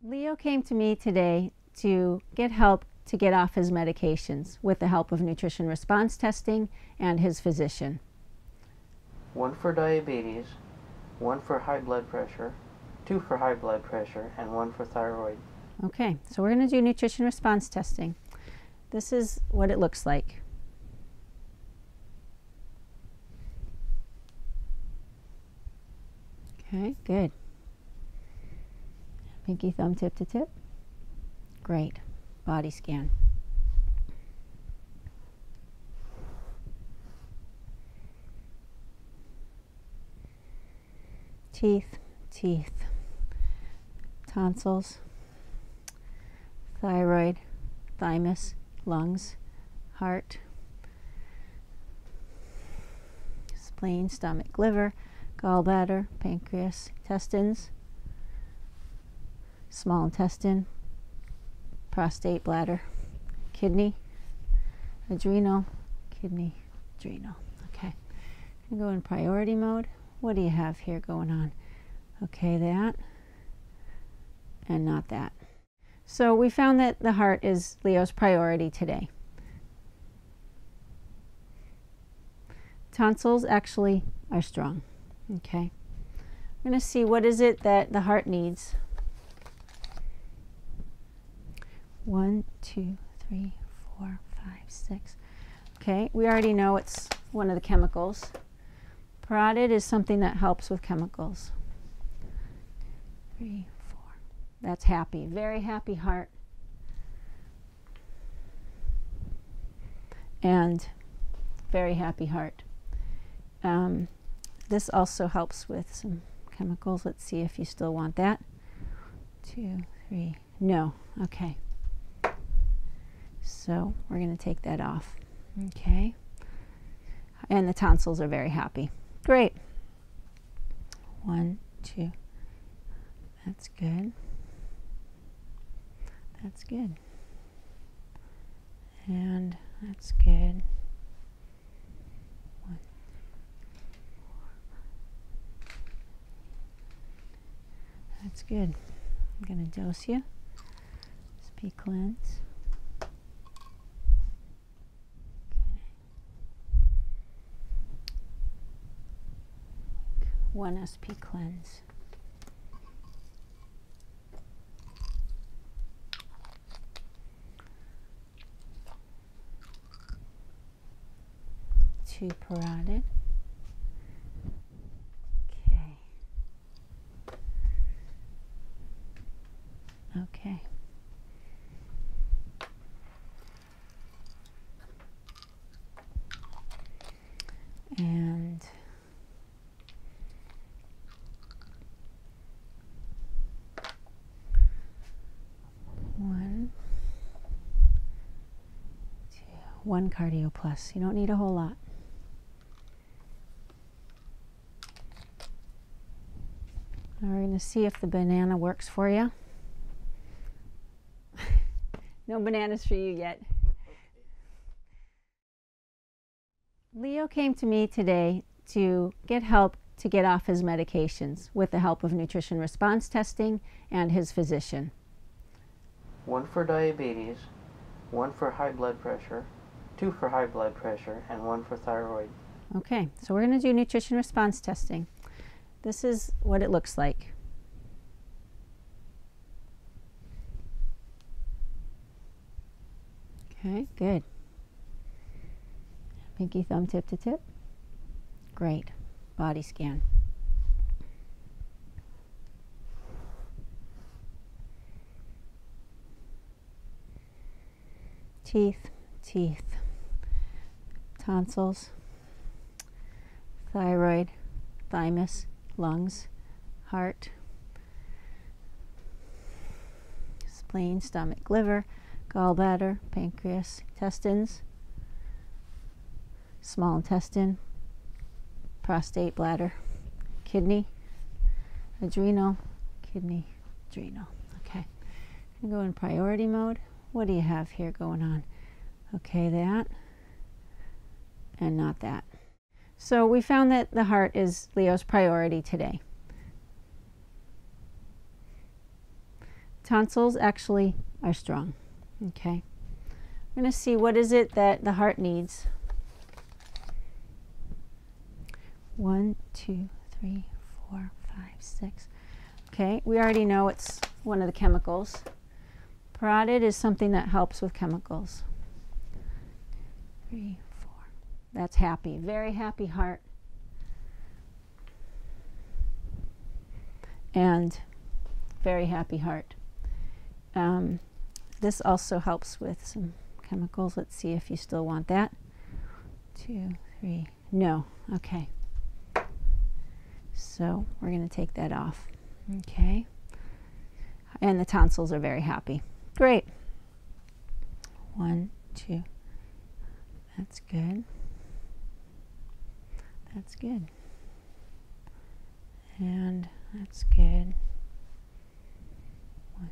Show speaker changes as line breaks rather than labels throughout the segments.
Leo came to me today to get help to get off his
medications with the help of nutrition response testing and his physician.
One for diabetes, one for high blood pressure, two for high blood pressure, and one for thyroid.
Okay, so we're going to do nutrition response testing. This is what it looks like. Okay, good. Pinky thumb tip to tip. Great. Body scan
teeth, teeth, tonsils, thyroid, thymus,
lungs, heart, spleen, stomach, liver, gallbladder, pancreas, intestines, small intestine, prostate, bladder, kidney, adrenal, kidney, adrenal. Okay, go in priority mode. What do you have here going on? Okay, that and not that. So we found that the heart is Leo's priority today. Tonsils actually are strong. Okay, we're going to see what is it that the heart needs one, two, three, four, five, six. Okay, we already know it's one of the chemicals. Parotid is something that helps with chemicals. Three, four. That's happy. Very happy heart. And very happy heart. Um, this also helps with some chemicals. Let's see if you still want that two, three. No, okay. So we're going to take that off. Okay. And the tonsils are very happy.
Great. One, two. That's
good. That's good. And that's good. One,
that's good. I'm going to dose you. SP cleanse. Okay.
One SP cleanse
two parotid. Okay.
Okay.
And
one,
two, one cardio plus. You don't need a whole lot. we're going to see if the banana works for you.
no bananas for you yet.
Leo came to me today to get help to get off his medications with the help of nutrition response testing and his physician.
One for diabetes, one for high blood pressure, two for high blood pressure, and one for thyroid.
Okay, so we're going to do nutrition response testing. This is what it looks like. Okay, good. Pinky thumb tip to tip. Great. Body scan.
Teeth, teeth, tonsils,
thyroid, thymus, lungs, heart, spleen, stomach, liver, gallbladder, pancreas, intestines, small intestine, prostate, bladder, kidney, adrenal, kidney, adrenal. Okay, i go in priority mode. What do you have here going on? Okay, that and not that. So we found that the heart is Leo's priority today. Tonsils actually are strong. Okay. We're going to see what is it that the heart needs. One, two, three, four, five, six. Okay, we already know it's one of the chemicals. Parotid is something that helps with chemicals. Three, four. That's happy. Very happy heart and very happy heart. Um, this also helps with some chemicals. Let's see if you still want that. Two, three, no, okay. So we're going to take that off. Okay. And the tonsils are very happy. Great. One,
two. That's good. That's good. And that's good.
One,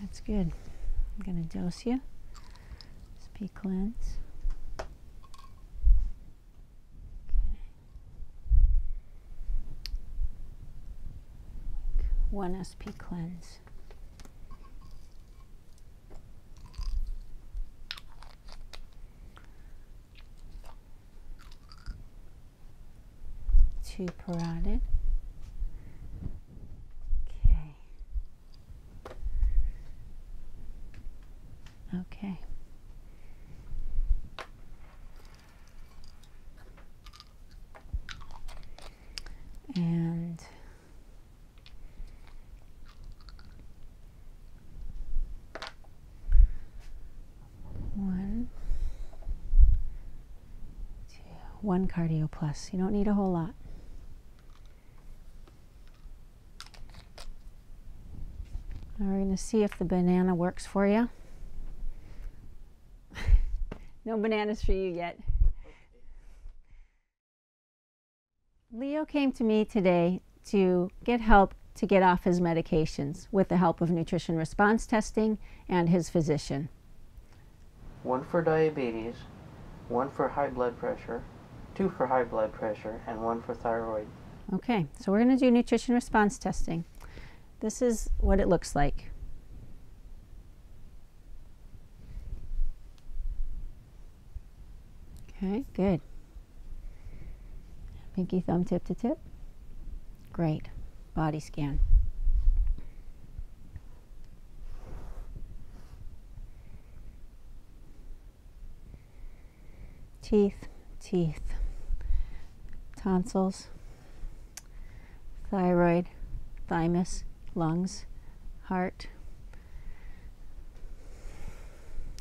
that's good. I'm going to dose you. SP cleanse. Okay.
One SP cleanse this.
Two paraded. Okay. Okay
and
one,
two, one cardio plus. You don't need a whole lot. we're going to see if the banana works for you.
no bananas for you yet.
Leo came to me today to get help to get off his medications with the help of nutrition response testing and his physician.
One for diabetes, one for high blood pressure, two for high blood pressure, and one for thyroid.
Okay, so we're going to do nutrition response testing. This is what it looks like. Okay, good. Pinky thumb tip to tip. Great. Body scan.
Teeth, teeth, tonsils,
thyroid, thymus, lungs, heart,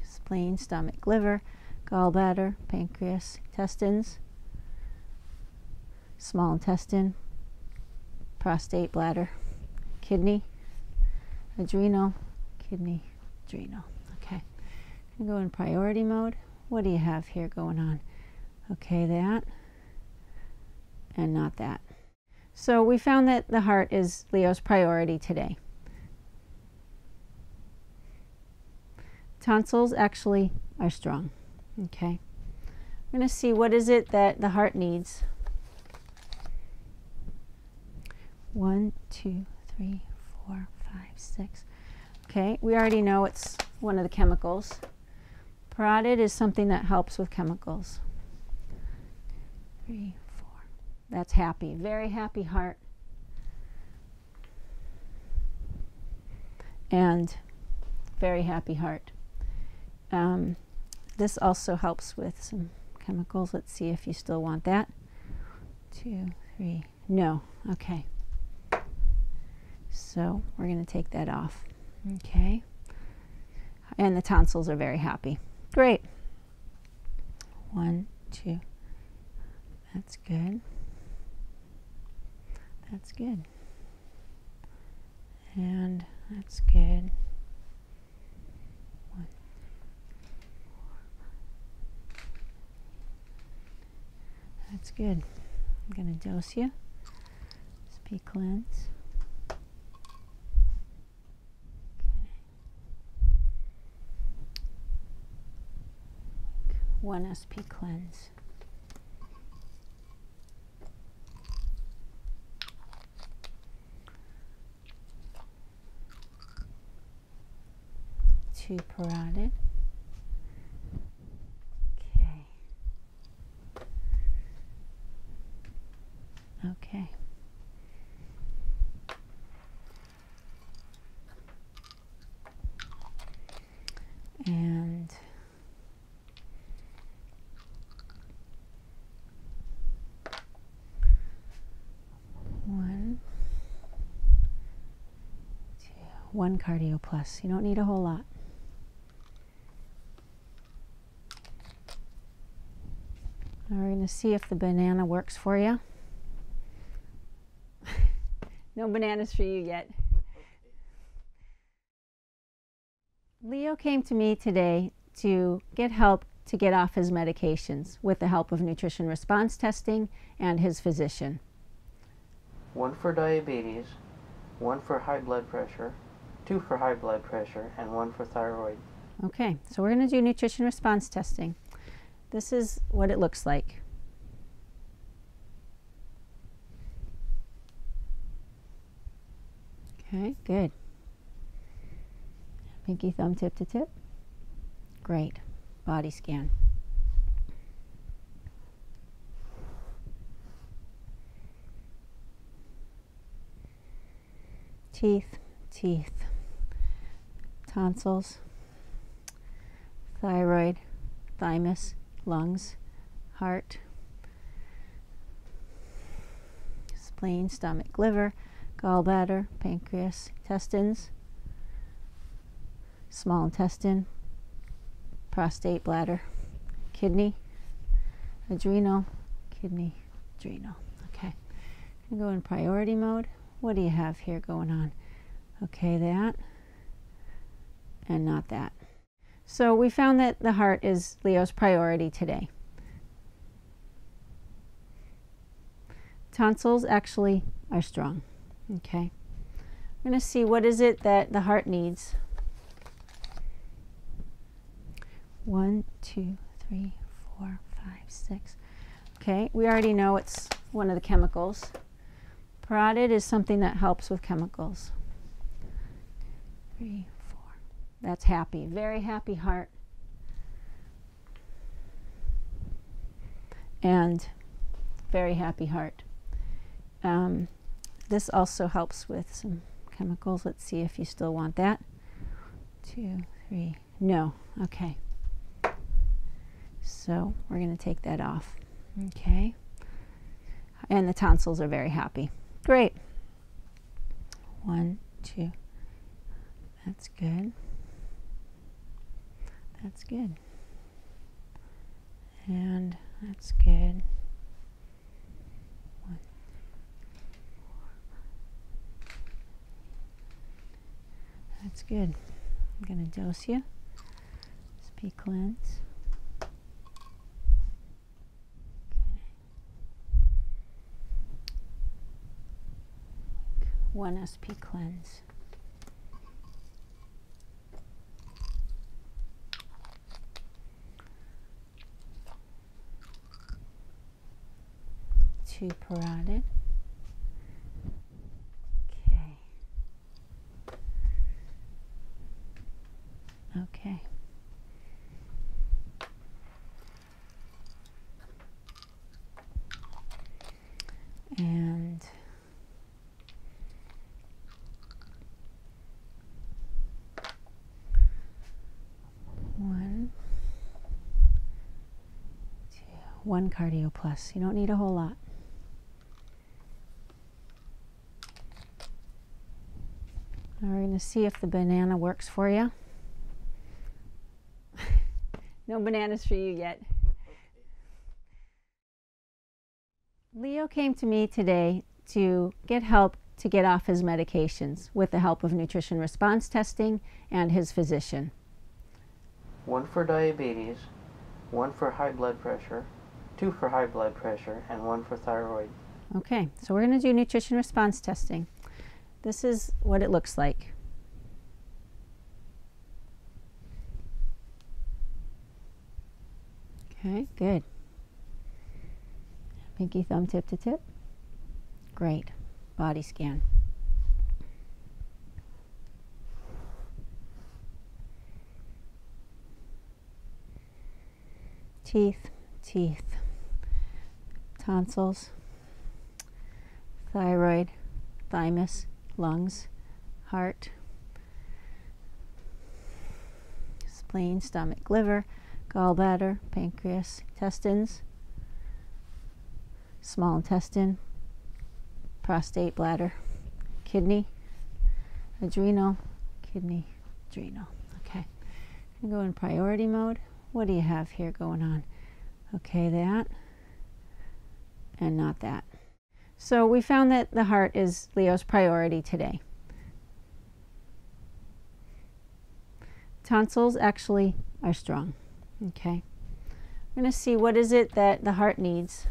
spleen, stomach, liver, gallbladder, pancreas, intestines, small intestine, prostate, bladder, kidney, adrenal, kidney, adrenal. Okay, go in priority mode. What do you have here going on? Okay, that and not that. So we found that the heart is Leo's priority today. Tonsils actually are strong. Okay. I'm going to see what is it that the heart needs.
One, two, three,
four, five, six. Okay, we already know it's one of the chemicals. Parotid is something that helps with chemicals. Three, four. That's happy. Very happy heart. And very happy heart. Um, this also helps with some chemicals. Let's see if you still want that. Two, three. No. Okay. So we're going to take that off. Okay. And the tonsils are very happy.
Great.
One, two. That's good. That's good. And that's good. One,
That's good. I'm going to dose you. SP cleanse.
Okay. One SP cleanse.
Two parotid. Okay.
Okay.
And
one,
two,
one cardio plus. You don't need a whole lot we're going to see if the banana works for you.
no bananas for you yet.
Leo came to me today to get help to get off his medications with the help of nutrition response testing and his physician
one for diabetes, one for high blood pressure, two for high blood pressure, and one for thyroid.
Okay, so we're going to do nutrition response testing. This is what it looks like. Okay, good. Pinky thumb tip to tip. Great. Body scan.
Teeth, teeth, tonsils, thyroid,
thymus, lungs, heart, spleen, stomach, liver, gallbladder, pancreas, intestines, small intestine, prostate, bladder, kidney, adrenal, kidney, adrenal. Okay, go in priority mode. What do you have here going on? Okay, that and not that. So we found that the heart is Leo's priority today. Tonsils actually are strong. Okay. I'm going to see what is it that the heart needs one, two, three, four, five, six. Okay, we already know it's one of the chemicals. Parotid is something that helps with chemicals. Three, four. That's happy. Very happy heart. And very happy heart. Um, this also helps with some chemicals. Let's see if you still want that. Two, three, no, okay. So we're gonna take that off, okay? And the tonsils are very happy. Great. One, two,
that's good. That's good. And that's good. One, three, four,
five. That's good. I'm going to dose you. SP cleanse. Okay.
One SP cleanse
two parroted. Okay.
Okay.
And
one cardio plus. You don't need a whole lot. we're going to see if the banana works for you.
no bananas for you yet.
Leo came to me today to get help to get off his medications with the help of nutrition response testing and his physician.
One for diabetes, one for high blood pressure, two for high blood pressure, and one for thyroid.
Okay, so we're going to do nutrition response testing. This is what it looks like. Okay, good. Pinky thumb tip to tip. Great. Body scan.
Teeth, teeth, tonsils,
thyroid, thymus, lungs, heart, spleen, stomach, liver, gallbladder, pancreas, intestines, small intestine, prostate, bladder, kidney, adrenal, kidney, adrenal. Okay, i go in priority mode. What do you have here going on? Okay, that and not that. So we found that the heart is Leo's priority today. Tonsils actually are strong. Okay. I'm going to see what is it that the heart needs.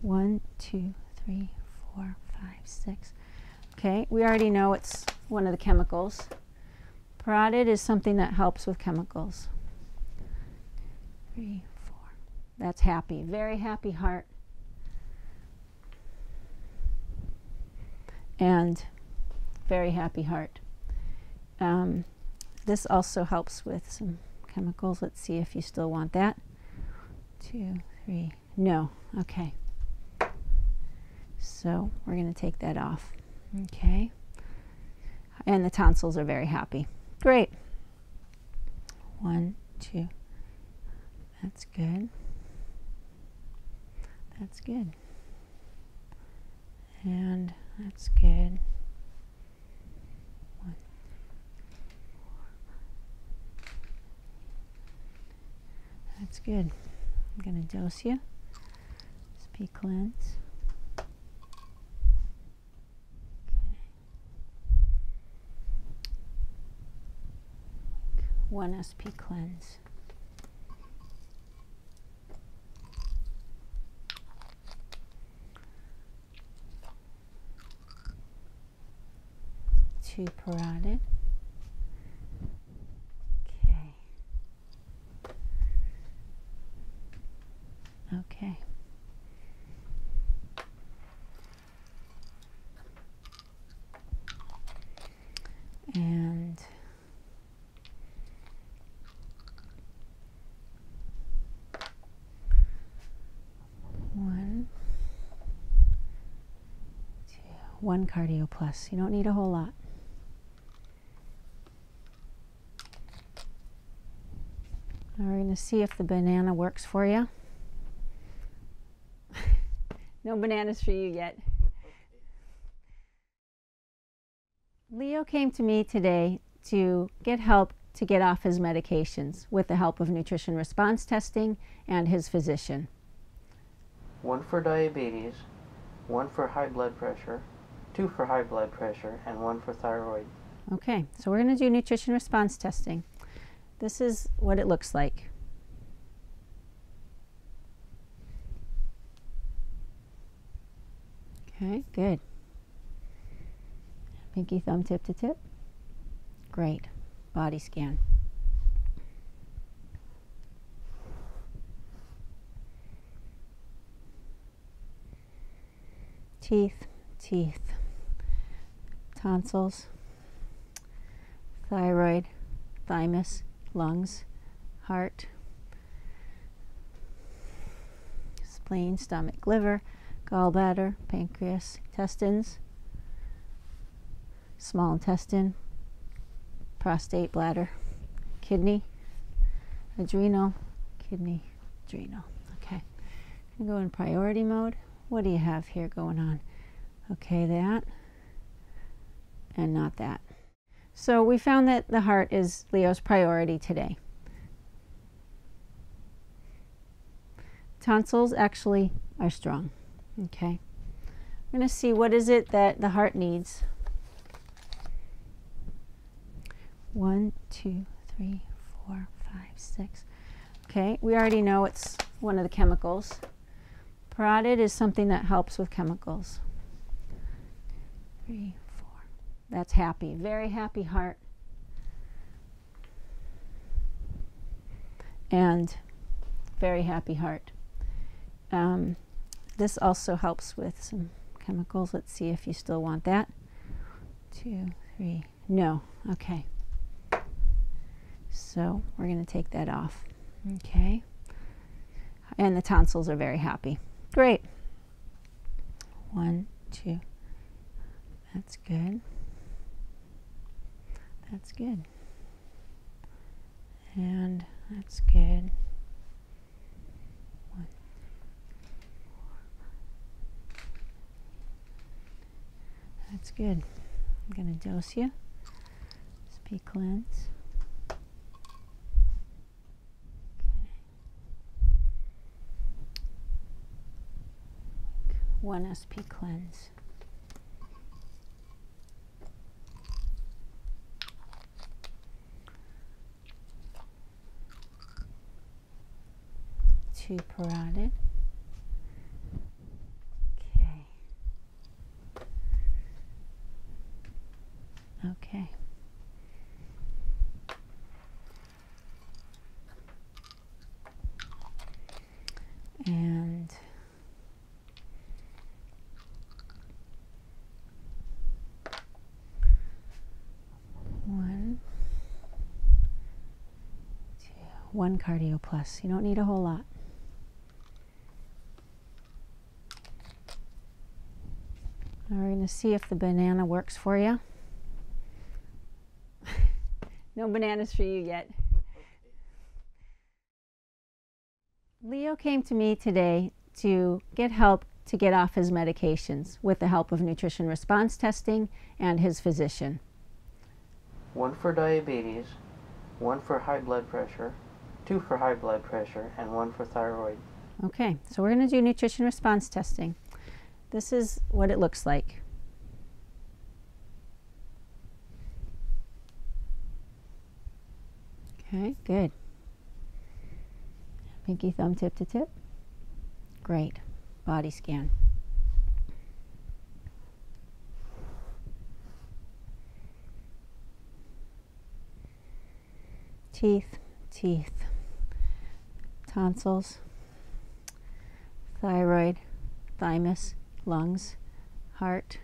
One, two, three, four, five, six. Okay, we already know it's one of the chemicals. Parotid is something that helps with chemicals. Three, four, that's happy, very happy heart. And very happy heart. Um, this also helps with some chemicals. Let's see if you still want that. Two, three, no, okay. So we're going to take that off. Okay. And the tonsils are very happy.
Great.
One, two. That's good. That's good. And that's good.
One, That's good. I'm going to dose you. SP cleanse.
One SP cleanse.
Two parotid. Okay. Okay
and
one two, one cardio plus you don't need a whole lot we're going to see if the banana works for you
no bananas for you yet.
Leo came to me today to get help to get off his medications with the help of nutrition response testing and his physician.
One for diabetes, one for high blood pressure, two for high blood pressure, and one for thyroid.
Okay, so we're going to do nutrition response testing. This is what it looks like. Okay, good. Pinky thumb tip to tip. Great. Body scan
teeth, teeth, tonsils, thyroid, thymus,
lungs, heart, spleen, stomach, liver, gallbladder, pancreas, intestines, small intestine, prostate, bladder, kidney, adrenal, kidney, adrenal. Okay, go in priority mode what do you have here going on? Okay, that and not that. So we found that the heart is Leo's priority today. Tonsils actually are strong. Okay. I'm going to see what is it that the heart needs. One, two, three, four, five, six, Okay, we already know it's one of the chemicals. Parotid is something that helps with chemicals. Three, four. That's happy. Very happy heart. And very happy heart. Um, this also helps with some chemicals. Let's see if you still want that. Two, three, no. Okay. So we're going to take that off. Okay. And the tonsils are very happy.
Great.
One, two. That's good.
That's good. And that's good. One, four,
that's good. I'm going to dose you. SP cleanse. Okay.
One SP cleanse
two parotid. Okay.
Okay.
And
one,
one cardio plus. You don't need a whole lot. Now we're going to see if the banana works for you.
no bananas for you yet.
Leo came to me today to get help to get off his medications with the help of nutrition response testing and his physician
one for diabetes, one for high blood pressure, two for high blood pressure, and one for thyroid.
Okay, so we're going to do nutrition response testing. This is what it looks like. Okay, good. Pinky thumb tip to tip. Great. Body scan.
Teeth, teeth, tonsils, thyroid,
thymus, lungs, heart,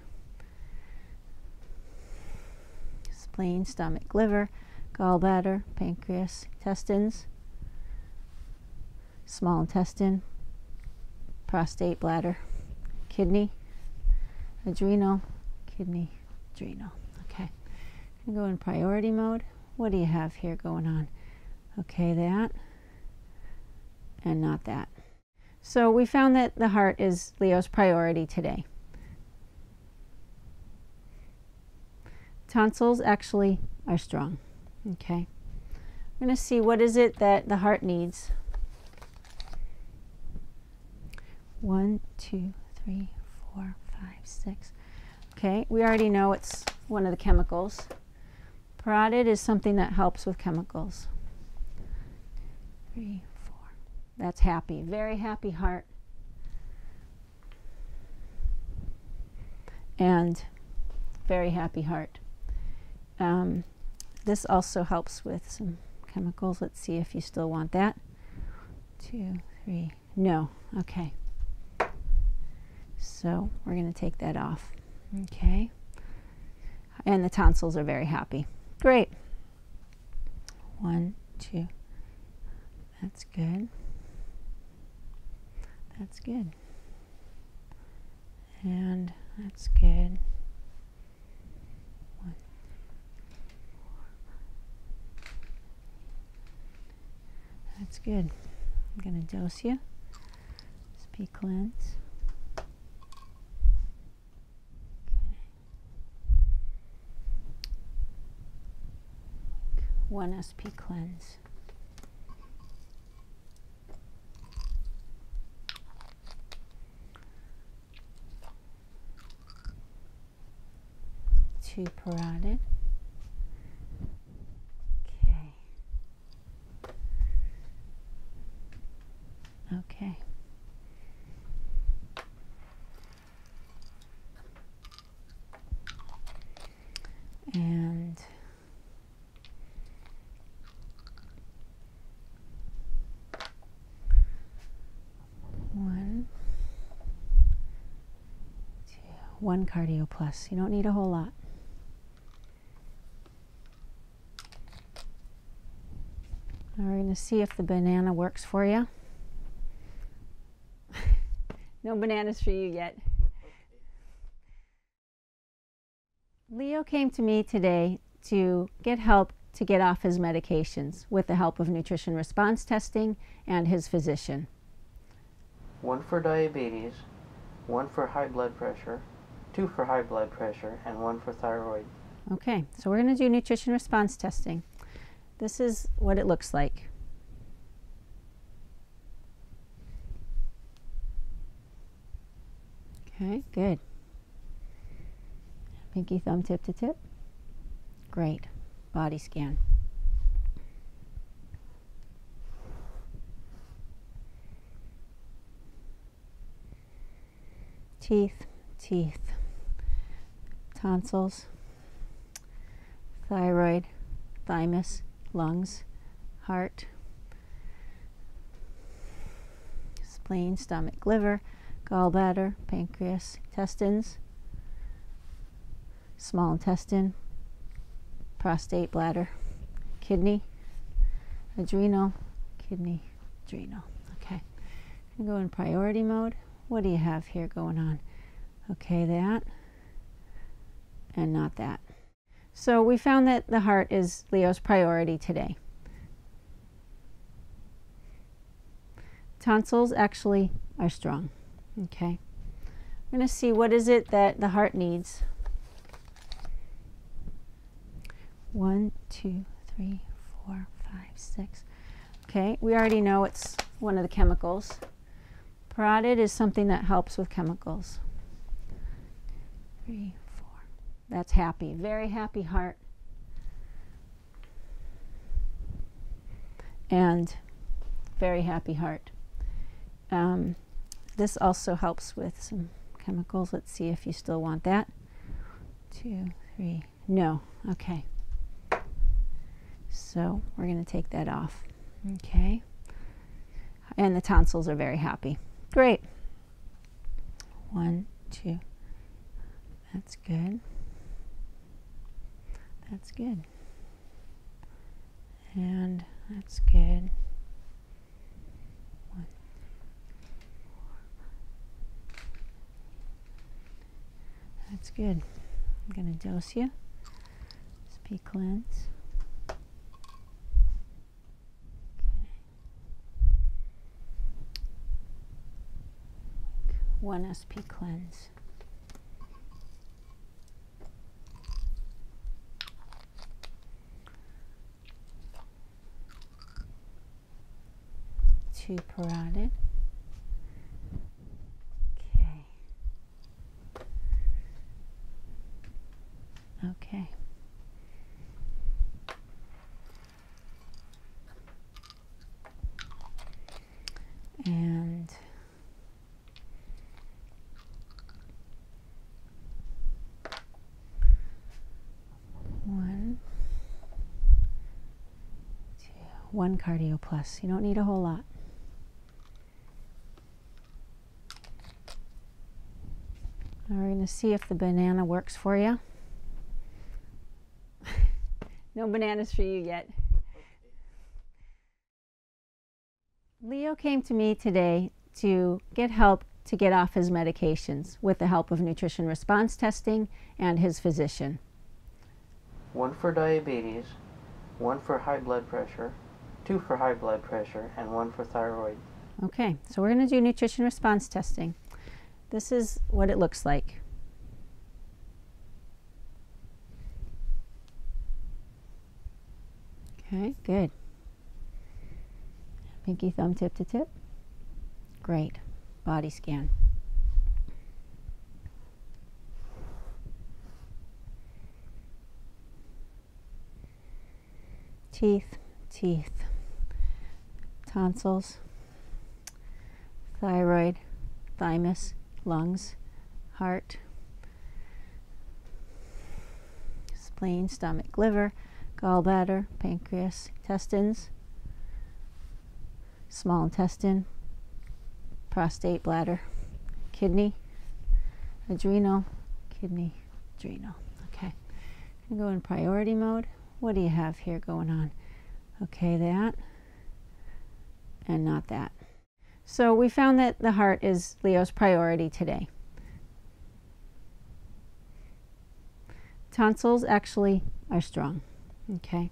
spleen, stomach, liver, gallbladder, pancreas, intestines, small intestine, prostate, bladder, kidney, adrenal, kidney, adrenal. Okay, go in priority mode. What do you have here going on? Okay, that and not that. So we found that the heart is Leo's priority today tonsils actually are strong. Okay. We're going to see what is it that the heart needs. One, two, three, four, five, six. Okay, we already know it's one of the chemicals. Parotid is something that helps with chemicals. Three, four. That's happy. Very happy heart. And very happy heart. Um, this also helps with some chemicals. Let's see if you still want that. Two, three, no, okay. So we're going to take that off. Okay. And the tonsils are very happy. Great. One, two.
That's good. That's good. And that's good.
One, that's good. I'm going to dose you. SP cleanse.
one SP cleanse
two parotid. Okay. Okay.
And
one cardio plus. You don't need a whole lot. we're going to see if the banana works for you.
no bananas for you yet. Leo
came to me today to get help to get off his medications with the help of nutrition response testing and his physician.
One for diabetes, one for high blood pressure, two for high blood pressure, and one for thyroid.
Okay, so we're going to do nutrition response testing. This is what it looks like. Okay, good. Pinky thumb tip to tip. Great. Body scan.
Teeth, teeth, tonsils,
thyroid, thymus, lungs, heart, spleen, stomach, liver, gallbladder, pancreas, intestines, small intestine, prostate, bladder, kidney, adrenal, kidney, adrenal. Okay, go in priority mode. What do you have here going on? Okay, that and not that. So we found that the heart is Leo's priority today. Tonsils actually are strong. Okay. We're going to see what is it that the heart needs. One, two, three, four, five, six. Okay, we already know it's one of the chemicals. Parotid is something that helps with chemicals. Three, four. That's happy. Very happy heart. And very happy heart. Um, this also helps with some chemicals. Let's see if you still want that. Two, three. No. Okay. So we're going to take that off. Okay and the tonsils are very happy.
Great.
One, two. That's good. That's good. And that's
good. One, four. That's good. I'm going to dose you. Just be cleanse.
One SP cleanse.
Two parotid. Okay.
Okay. And
One
cardio plus. You don't need a whole lot we're going to see if the banana works for you.
no bananas for you yet.
Leo came to me today to get help to get off his medications with the help of nutrition response testing and his physician.
One for diabetes, one for high blood pressure, two for high blood pressure, and one for thyroid.
Okay, so we're going to do nutrition response testing. This is what it looks like. Okay, good. Pinky thumb tip to tip. Great. Body scan
teeth, teeth, tonsils, thyroid, thymus,
lungs, heart, spleen, stomach, liver, gallbladder, pancreas, Testes. small intestine, prostate, bladder, kidney, adrenal, kidney adrenal. Okay, i go in priority mode. What do you have here going on? Okay, that and not that. So we found that the heart is Leo's priority today. Tonsils actually are strong. Okay.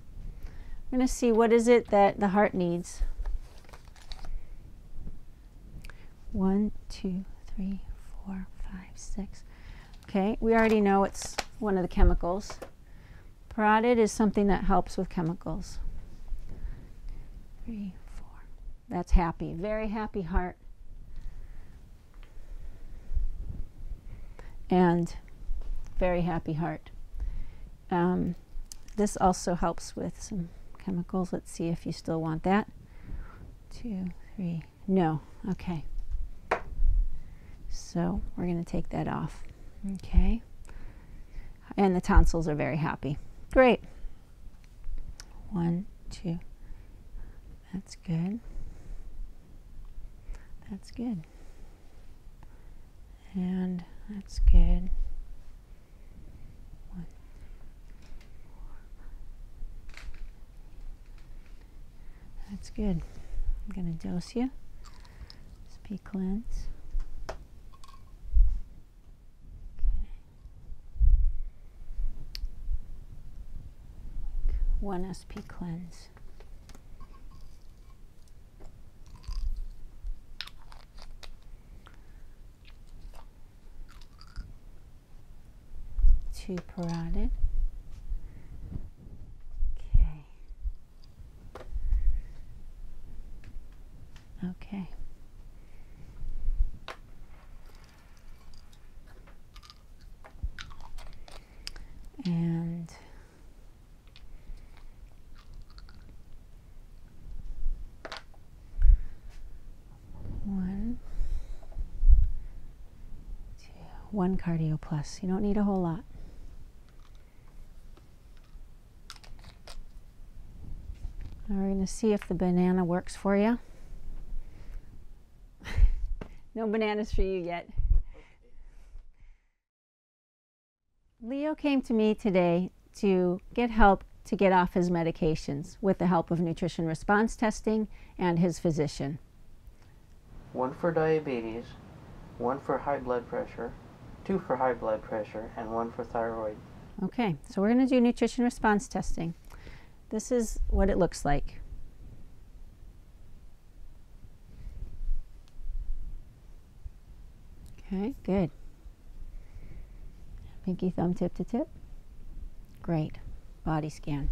I'm going to see what is it that the heart needs. One, two, three, four, five, six. Okay, we already know it's one of the chemicals. Parotid is something that helps with chemicals. Three, four. That's happy. Very happy heart. And very happy heart. Um, this also helps with some chemicals. Let's see if you still want that two, three. No, okay. So we're going to take that off. Okay. And the tonsils are very happy. Great. One, two.
That's good. That's good. And that's good. One, two, four,
five. That's good. I'm going to dose you. SP cleanse. Okay.
One SP cleanse
two parotid. Okay.
Okay.
And
one,
two, one cardio plus. You don't need a whole lot. Now we're going to see if the banana works for you.
no bananas for you yet.
Leo came to me today to get help to get off his medications with the help of nutrition response testing and his physician.
One for diabetes, one for high blood pressure, two for high blood pressure, and one for thyroid.
Okay, so we're going to do nutrition response testing. This is what it looks like. Okay, good. Pinky thumb tip to tip. Great. Body scan.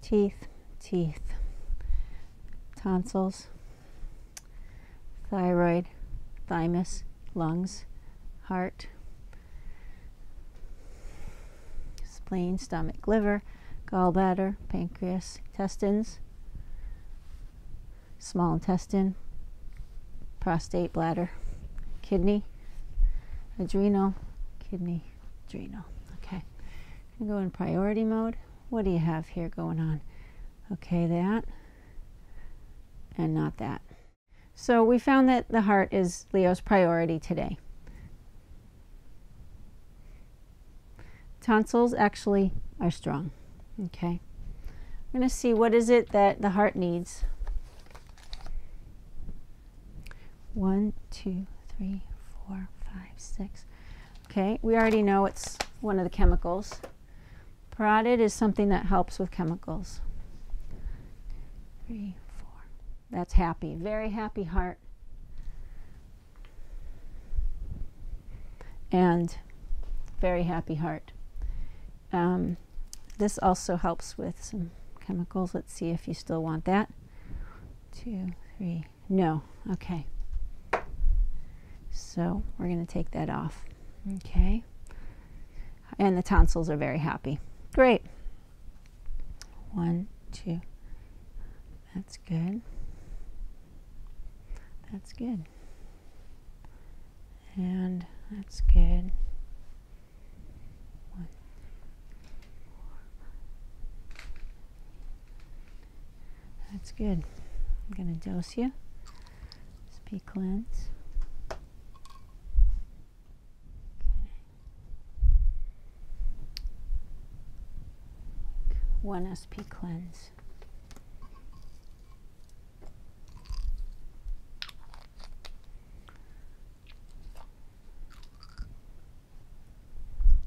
Teeth, teeth, tonsils,
thyroid, thymus, lungs, heart, spleen, stomach, liver, gallbladder, pancreas, intestines, small intestine, prostate, bladder, kidney, adrenal, kidney, adrenal. Okay, go in priority mode. What do you have here going on? Okay, that and not that. So we found that the heart is Leo's priority today. Tonsils actually are strong. Okay. we're going to see what is it that the heart needs. One, two, three, four, five, six. Okay, we already know it's one of the chemicals. Parotid is something that helps with chemicals. Three, four. That's happy. Very happy heart and very happy heart. Um, this also helps with some chemicals. Let's see if you still want that. Two, three, no, okay. So we're going to take that off. Okay. And the tonsils are very happy. Great. One,
two, that's good. That's good. And that's good.
One, that's good. I'm going to dose you. Speak cleanse. Okay
one SP cleanse.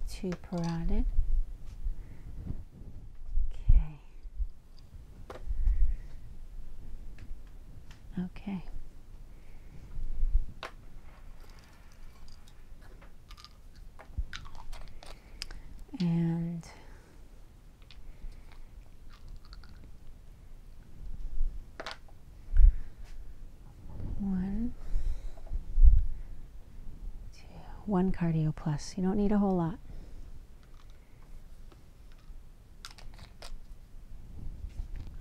Two parotid. Okay. Okay
and
one two, one cardio plus you don't need a whole lot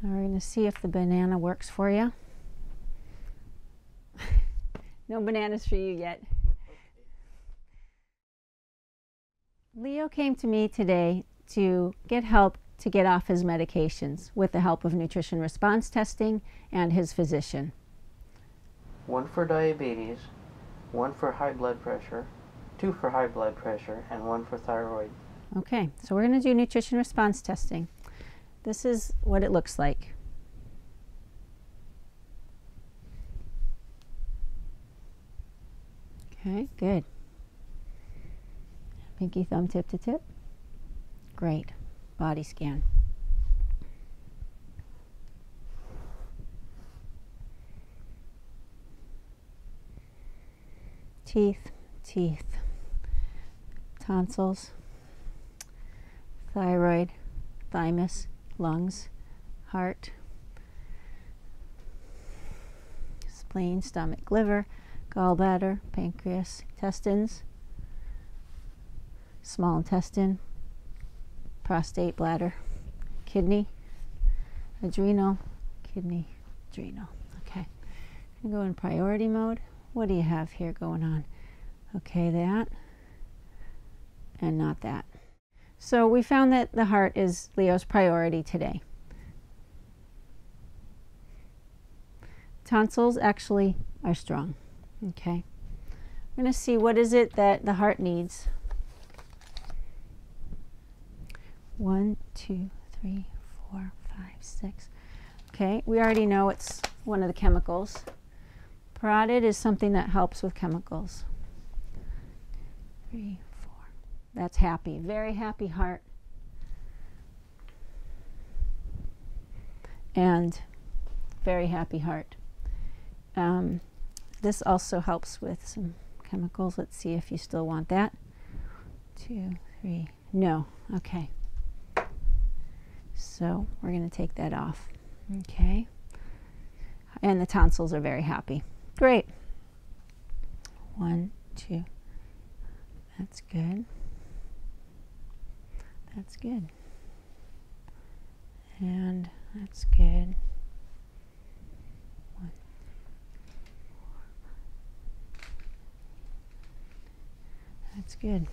now we're going to see if the banana works for you
no bananas for you yet.
Leo came to me today to get help to get off his medications with the help of nutrition response testing and his physician.
One for diabetes, one for high blood pressure, two for high blood pressure, and one for thyroid.
Okay, so we're going to do nutrition response testing. This is what it looks like. Okay, good. Pinky thumb tip to tip. Great. Body scan.
Teeth, teeth,
tonsils, thyroid, thymus, lungs, heart, spleen, stomach, liver, gallbladder, pancreas, intestines, small intestine, prostate, bladder, kidney, adrenal, kidney, adrenal. Okay, go in priority mode. What do you have here going on? Okay, that, and not that. So we found that the heart is Leo's priority today. Tonsils actually are strong. Okay. I'm going to see what is it that the heart needs. One, two, three, four, five, six. Okay, we already know it's one of the chemicals. Parotid is something that helps with chemicals. Three, four. That's happy. Very happy heart. And very happy heart. Um, this also helps with some chemicals. Let's see if you still want that. Two, three. No, Okay. So we're going to take that off. Okay. And the tonsils are very happy.
Great.
One, two. That's good. That's good. And that's good. One,
that's good.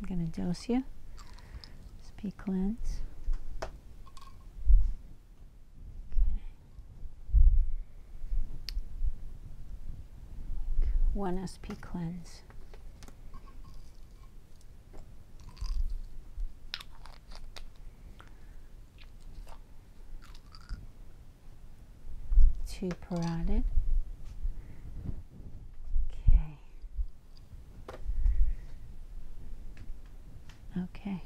I'm going to dose you. SP cleanse. Okay.
One SP cleanse.
two parotid. Okay.
Okay.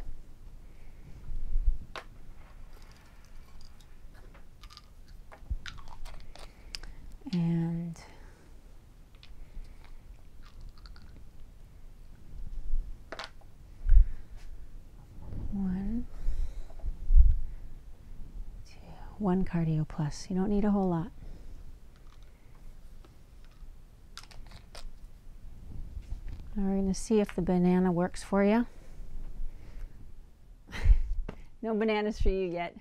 And
one,
one cardio plus. You don't need a whole lot. we're going to see if the banana works for you.
no bananas for you yet.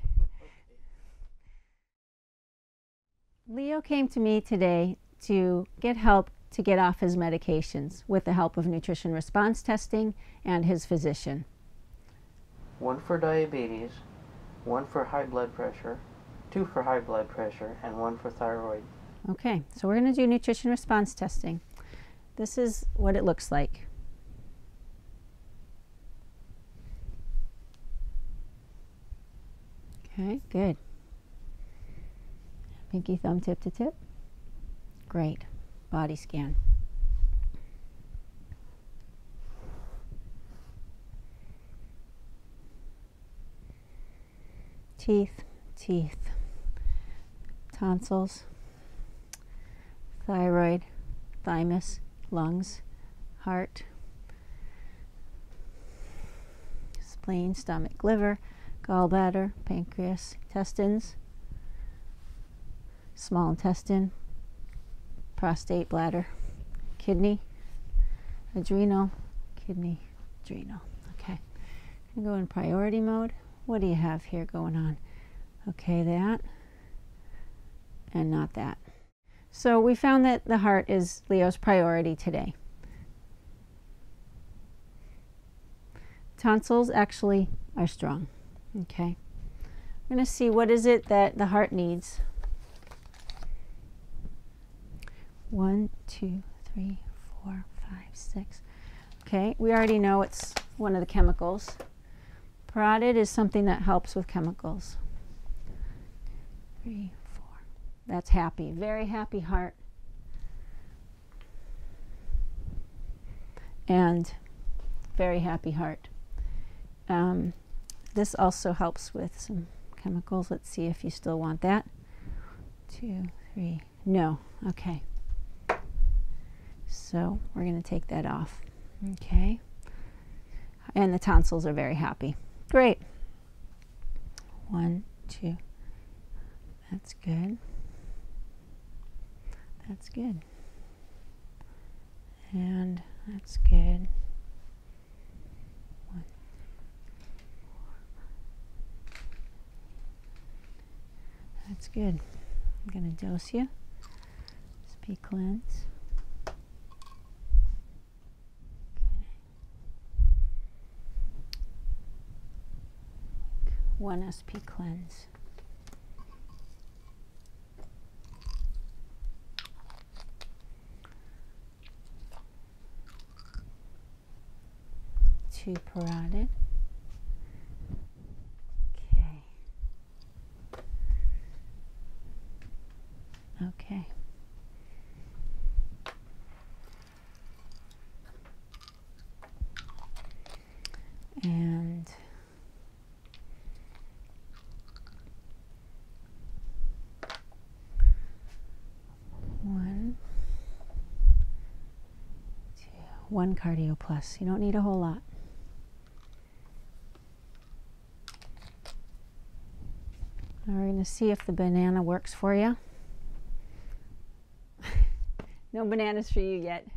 Leo came to me today to get help to get off his medications with the help of nutrition response testing and his physician
one for diabetes, one for high blood pressure, two for high blood pressure, and one for thyroid.
Okay, so we're going to do nutrition response testing. This is what it looks like. Okay, good. Pinky thumb tip to tip. Great. Body
scan. Teeth, teeth, tonsils, thyroid,
thymus, lungs, heart, spleen, stomach, liver, gallbladder, pancreas, intestines, small intestine, prostate, bladder, kidney, adrenal, kidney, adrenal. Okay, go in priority mode. What do you have here going on? Okay, that and not that. So we found that the heart is Leo's priority today. Tonsils actually are strong. Okay.
Okay. I'm going to see what is it
that the heart needs. One, two, three, four, five, six. Okay, we already know it's one of the chemicals. Parotid is something that helps with chemicals. Three, four. That's happy. Very happy heart. And very happy heart. Um, this also helps with some chemicals. Let's see if you still want that. Two, three, no, okay. So we're going to take that off. Okay. And the tonsils are very happy. Great. One, two.
That's good. That's good and that's good.
One, that's good. I'm gonna dose you. SP cleanse.
One SP cleanse
two parotid. Okay.
Okay.
And
one cardio plus. You don't need a whole lot. we're going to see if the banana works for you.
no bananas for you yet.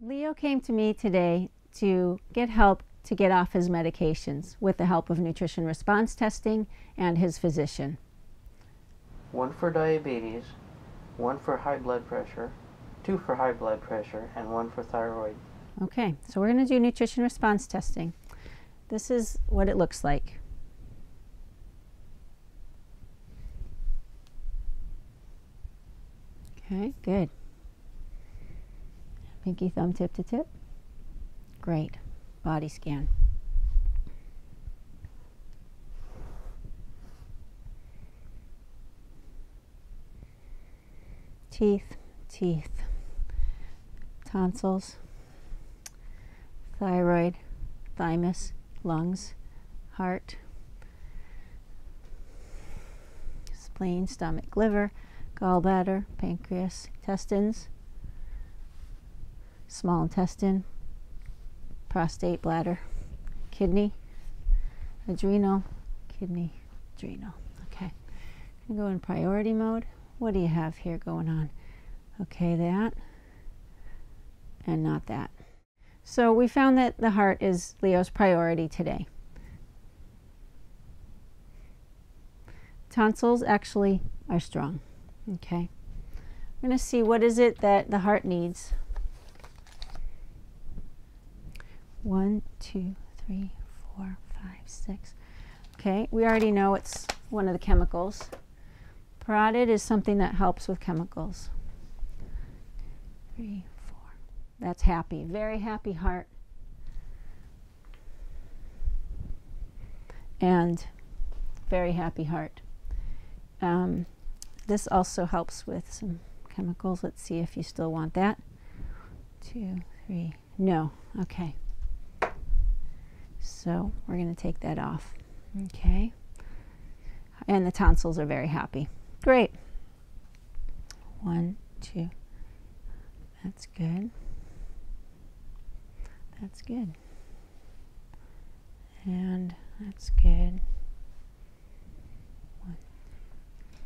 Leo
came to me today to get help to get off his medications with the help of nutrition response testing and his physician.
One for diabetes, one for high blood pressure, two for high blood pressure, and one for thyroid.
Okay, so we're going to do nutrition response testing. This is what it looks like. Okay, good. Pinky thumb tip to tip. Great. Body scan.
Teeth, teeth, tonsils,
thyroid, thymus, lungs, heart, spleen, stomach, liver, gallbladder, pancreas, intestines, small intestine, prostate, bladder, kidney, adrenal, kidney, adrenal. Okay, go in priority mode. What do you have here going on? Okay, that and not that. So we found that the heart is Leo's priority today. Tonsils actually are strong. Okay. We're going to see what is it that the heart needs. One, two, three, four, five, six. Okay, we already know it's one of the chemicals. Parotid is something that helps with chemicals. Three, four, that's happy, very happy heart. And very happy heart. Um, this also helps with some chemicals. Let's see if you still want that. Two, three, no, okay. So we're going to take that off. Okay. And the tonsils are very happy.
Great.
One, two. That's good. That's good. And that's good.
One,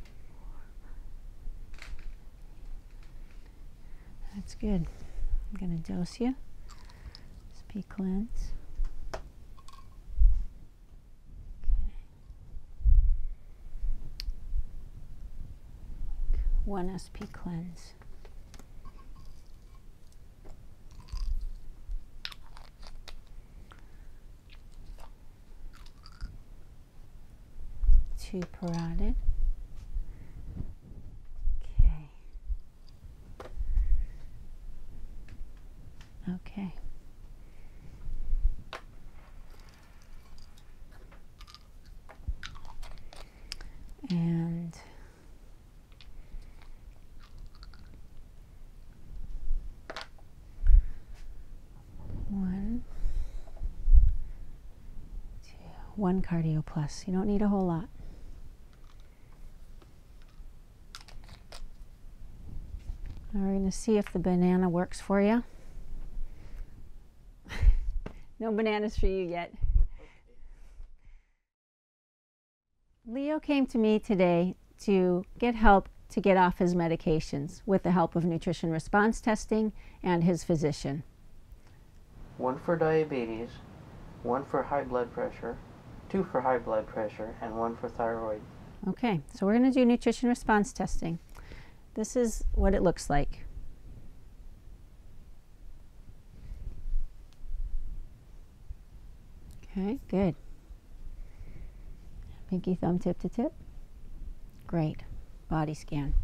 four. That's good. I'm going to dose you. SP cleanse.
One SP cleanse.
Two parotid. Okay. Okay
and
one two, one cardio
plus you don't need a whole lot we're going to see if the banana works for you.
no bananas for you yet.
Leo came to me today to get help to get off his medications with the help of nutrition response testing and his physician.
One for diabetes, one for high blood pressure, two for high blood pressure, and one for thyroid.
Okay, so we're going to do nutrition response testing. This is what it looks like. Okay, good. Pinky thumb tip to tip. Great. Body scan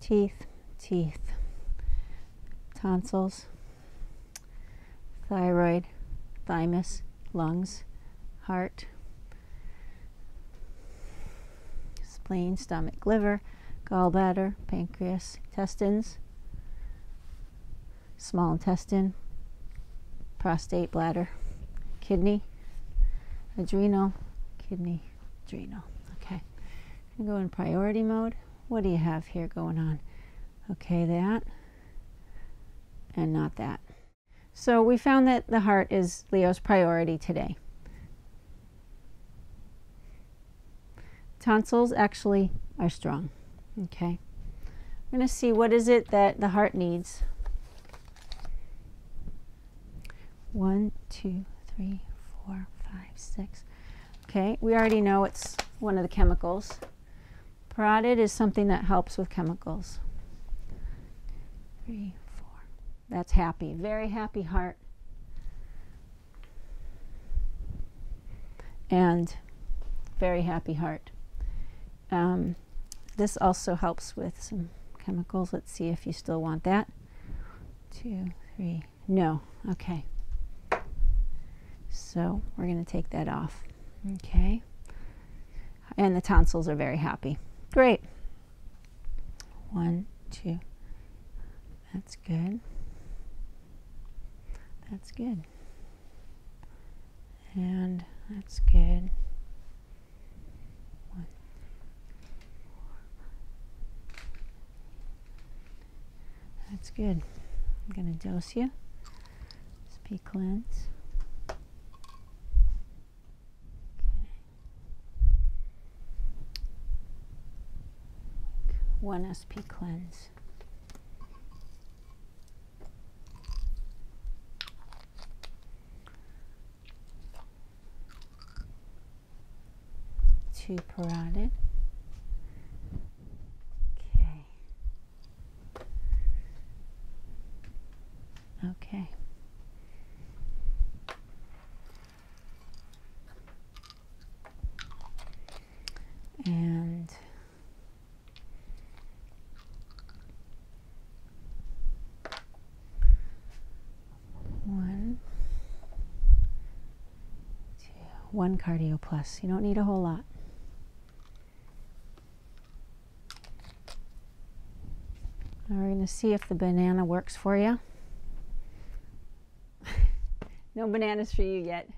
teeth, teeth, tonsils, thyroid, thymus,
lungs, heart, spleen, stomach, liver, gallbladder, pancreas, intestines, small intestine, prostate, bladder, kidney, adrenal, kidney, adrenal. Okay, go in priority mode. What do you have here going on? Okay, that and not that. So we found that the heart is Leo's priority today. Tonsils actually are strong. Okay. We're going to see what is it that the heart needs. One, two, three, four, five, six. Okay, we already know it's one of the chemicals. Parotid is something that helps with chemicals. Three, four. That's happy. Very happy heart. And very happy heart. Um, this also helps with some chemicals. Let's see if you still want that. Two, three, no. Okay. So we're going to take that off. Okay. And the tonsils are very happy. Great. One, two. That's
good. That's good. And that's good. One.
That's good. I'm going to dose you. SP cleanse. Okay.
One SP cleanse
two parotid. Okay.
Okay.
And
one cardio plus. You don't need a whole lot. we're going to see if the banana works for you.
no bananas for you yet.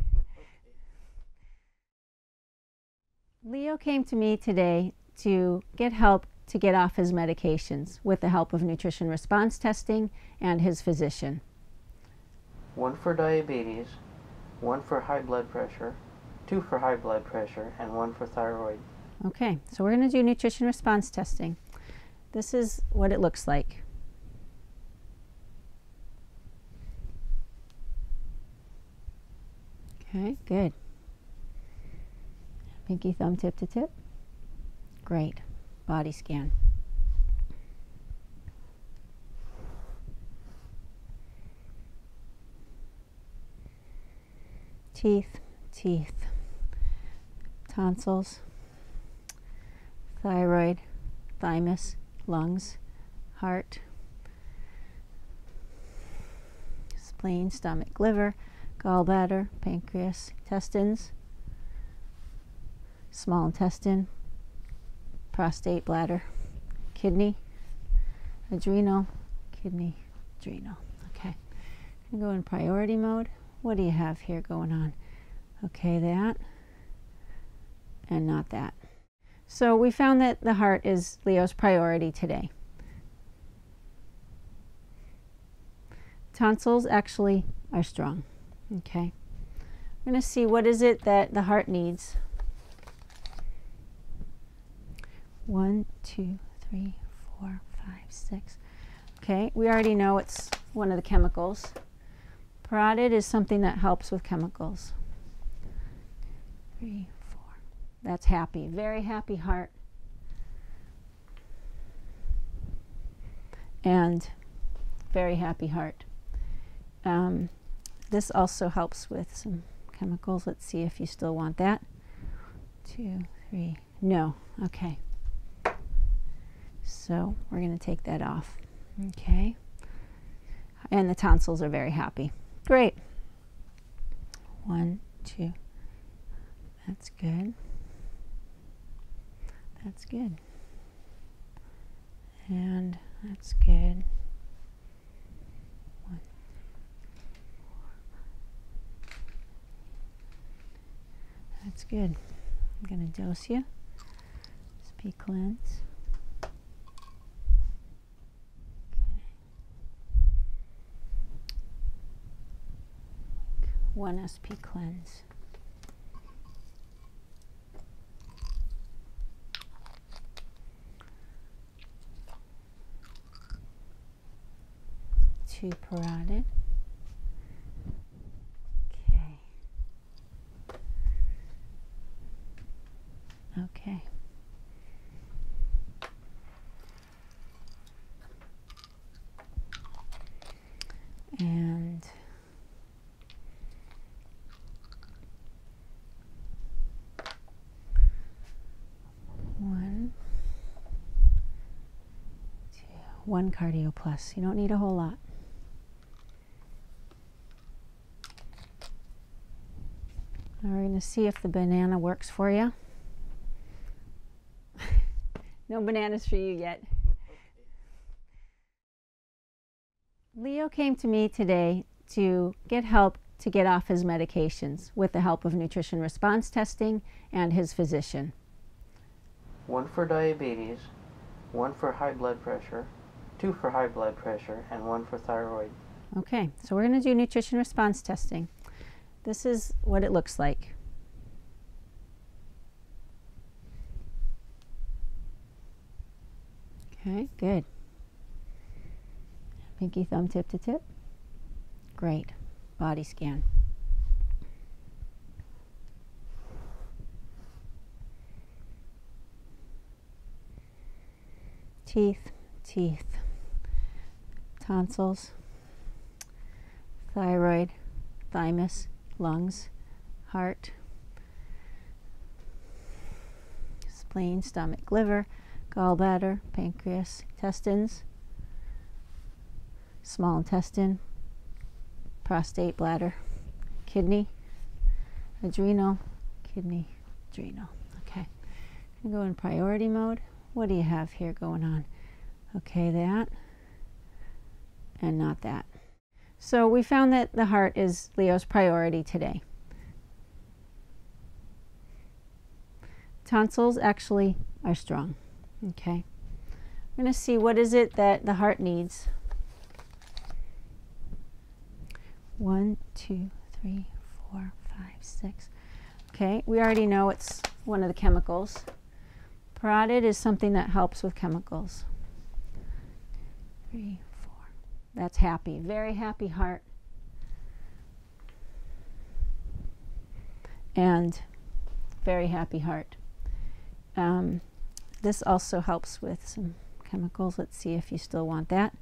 Leo came to me today to get help to get off his medications with the help of nutrition response testing and his physician.
One for diabetes, one for high blood pressure, two for high blood pressure, and one for thyroid.
Okay, so we're going to do nutrition response testing. This is what it looks like. Okay, good. Pinky thumb tip to tip. Great body scan.
Teeth, teeth, tonsils,
thyroid, thymus, lungs, heart, spleen, stomach, liver, gallbladder, pancreas, intestines, small intestine, prostate, bladder, kidney, adrenal, kidney, adrenal. Okay, i go in priority mode. What do you have here going on? Okay, that and not that. So we found that the heart is Leo's priority today. Tonsils actually are strong. Okay. We're going to see what is it that the heart needs. One, two, three, four, five, six. Okay, we already know it's one of the chemicals. Parotid is something that helps with chemicals. Three, four. That's happy. Very happy heart and very happy heart. Um, this also helps with some chemicals. Let's see if you still want that. Two, three, no, okay. So we're going to take that off. Okay. And the tonsils are very happy. Great. One,
two, that's good. That's good. And that's good.
One, That's good. I'm going to dose you. SP cleanse. Okay.
One SP cleanse.
Two parotid. Okay. Okay
and
one,
two, one cardio plus. You don't need a whole lot. we're going to see if the banana works for you.
no bananas for you yet.
Leo came to me today to get help to get off his medications with the help of nutrition response testing and his physician.
One for diabetes, one for high blood pressure, two for high blood pressure, and one for thyroid.
Okay, so we're going to do nutrition response testing. This is what it looks like. Okay, good. Pinky thumb tip to tip. Great. Body scan.
Teeth, teeth, tonsils,
thyroid, thymus, lungs, heart, spleen, stomach, liver, gallbladder, pancreas, intestines, small intestine, prostate, bladder, kidney, adrenal, kidney, adrenal. Okay, go in priority mode. What do you have here going on? Okay, that and not that. So we found that the heart is Leo's priority today. Tonsils actually are strong. Okay. I'm going to see what is it that the heart needs. One, two, three, four, five, six. Okay, we already know it's one of the chemicals. Parotid is something that helps with chemicals. Three, four. That's happy. Very happy heart. And very happy heart. Um, this also helps with some chemicals. Let's see if you still want that.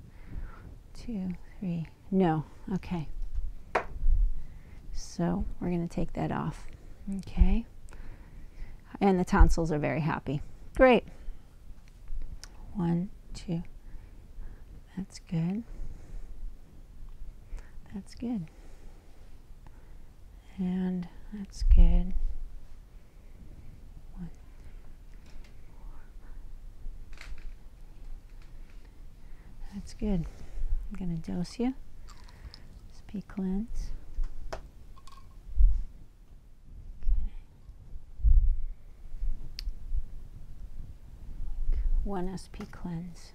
Two, three. No. Okay. So we're going to take that off. Okay and the tonsils are very happy.
Great.
One, two. That's good. That's good. And that's good. One, four.
That's good. I'm going to dose you. SP Cleanse. Okay.
One SP Cleanse.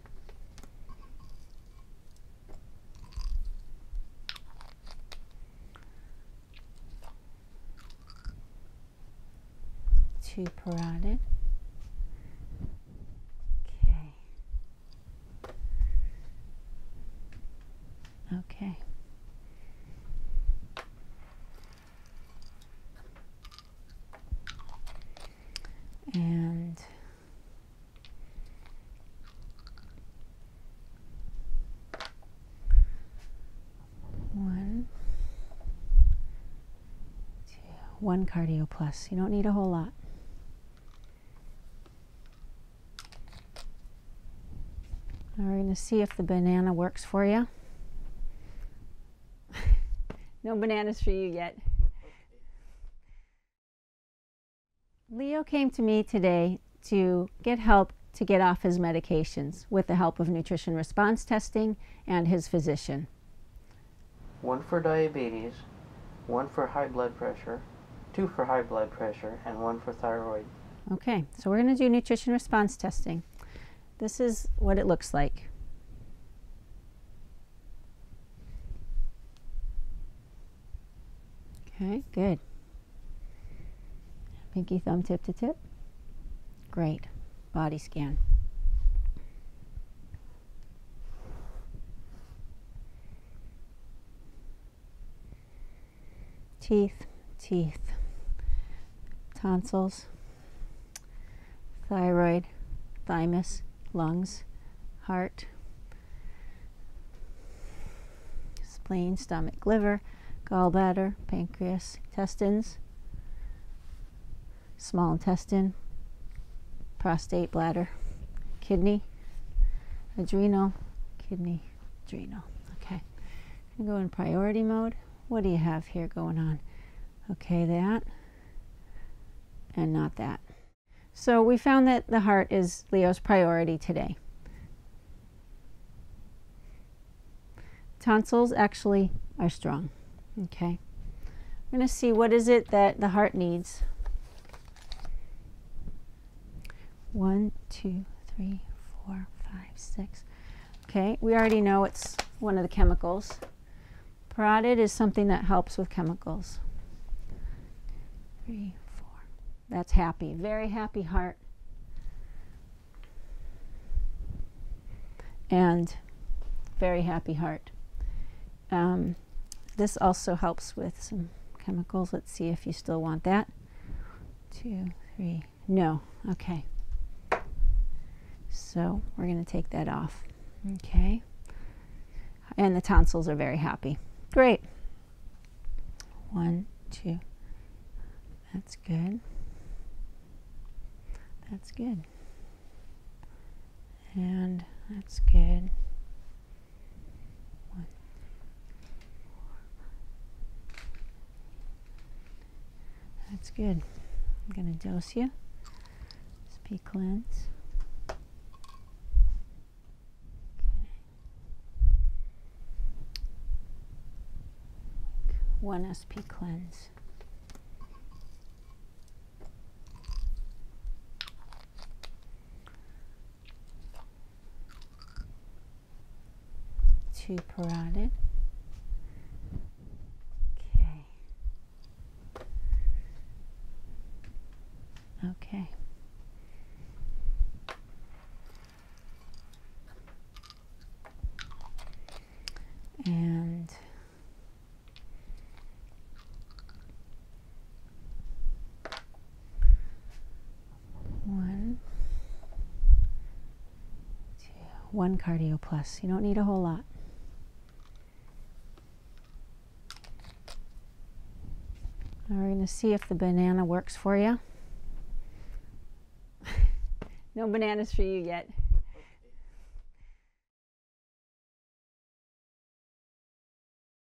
Two parotid. Okay.
Okay.
And
One cardio plus. You don't need a whole lot. We're going to see if the banana works for you.
no bananas for you yet.
Leo came to me today to get help to get off his medications with the help of nutrition response testing and his physician.
One for diabetes, one for high blood pressure, two for high blood pressure, and one for thyroid.
Okay, so we're going to do nutrition response testing. This is what it looks like. Okay, good. Pinky thumb tip to tip. Great. Body scan
teeth, teeth, tonsils, thyroid,
thymus, lungs, heart, spleen, stomach, liver, gallbladder, pancreas, intestines, small intestine, prostate, bladder, kidney, adrenal, kidney, adrenal. Okay, I'm go in priority mode. What do you have here going on? Okay, that and not that. So we found that the heart is Leo's priority today. Tonsils actually are strong. Okay. I'm going to see what is it that the heart needs. One, two, three, four, five, six. Okay, we already know it's one of the chemicals. Parotid is something that helps with chemicals. Three, four. That's happy. Very happy heart. And very happy heart. Um, this also helps with some chemicals. Let's see if you still want that. Two, three, no, okay. So we're going to take that off. Okay. And the tonsils are very happy. Great. One, two.
That's good. That's good. And that's good. One,
That's good. I'm going to dose you. SP cleanse. Okay.
One SP cleanse
two parotid. Okay.
Okay.
And
one cardio plus. You don't need a whole lot. we're going to see if the banana works for you.
no bananas for you yet.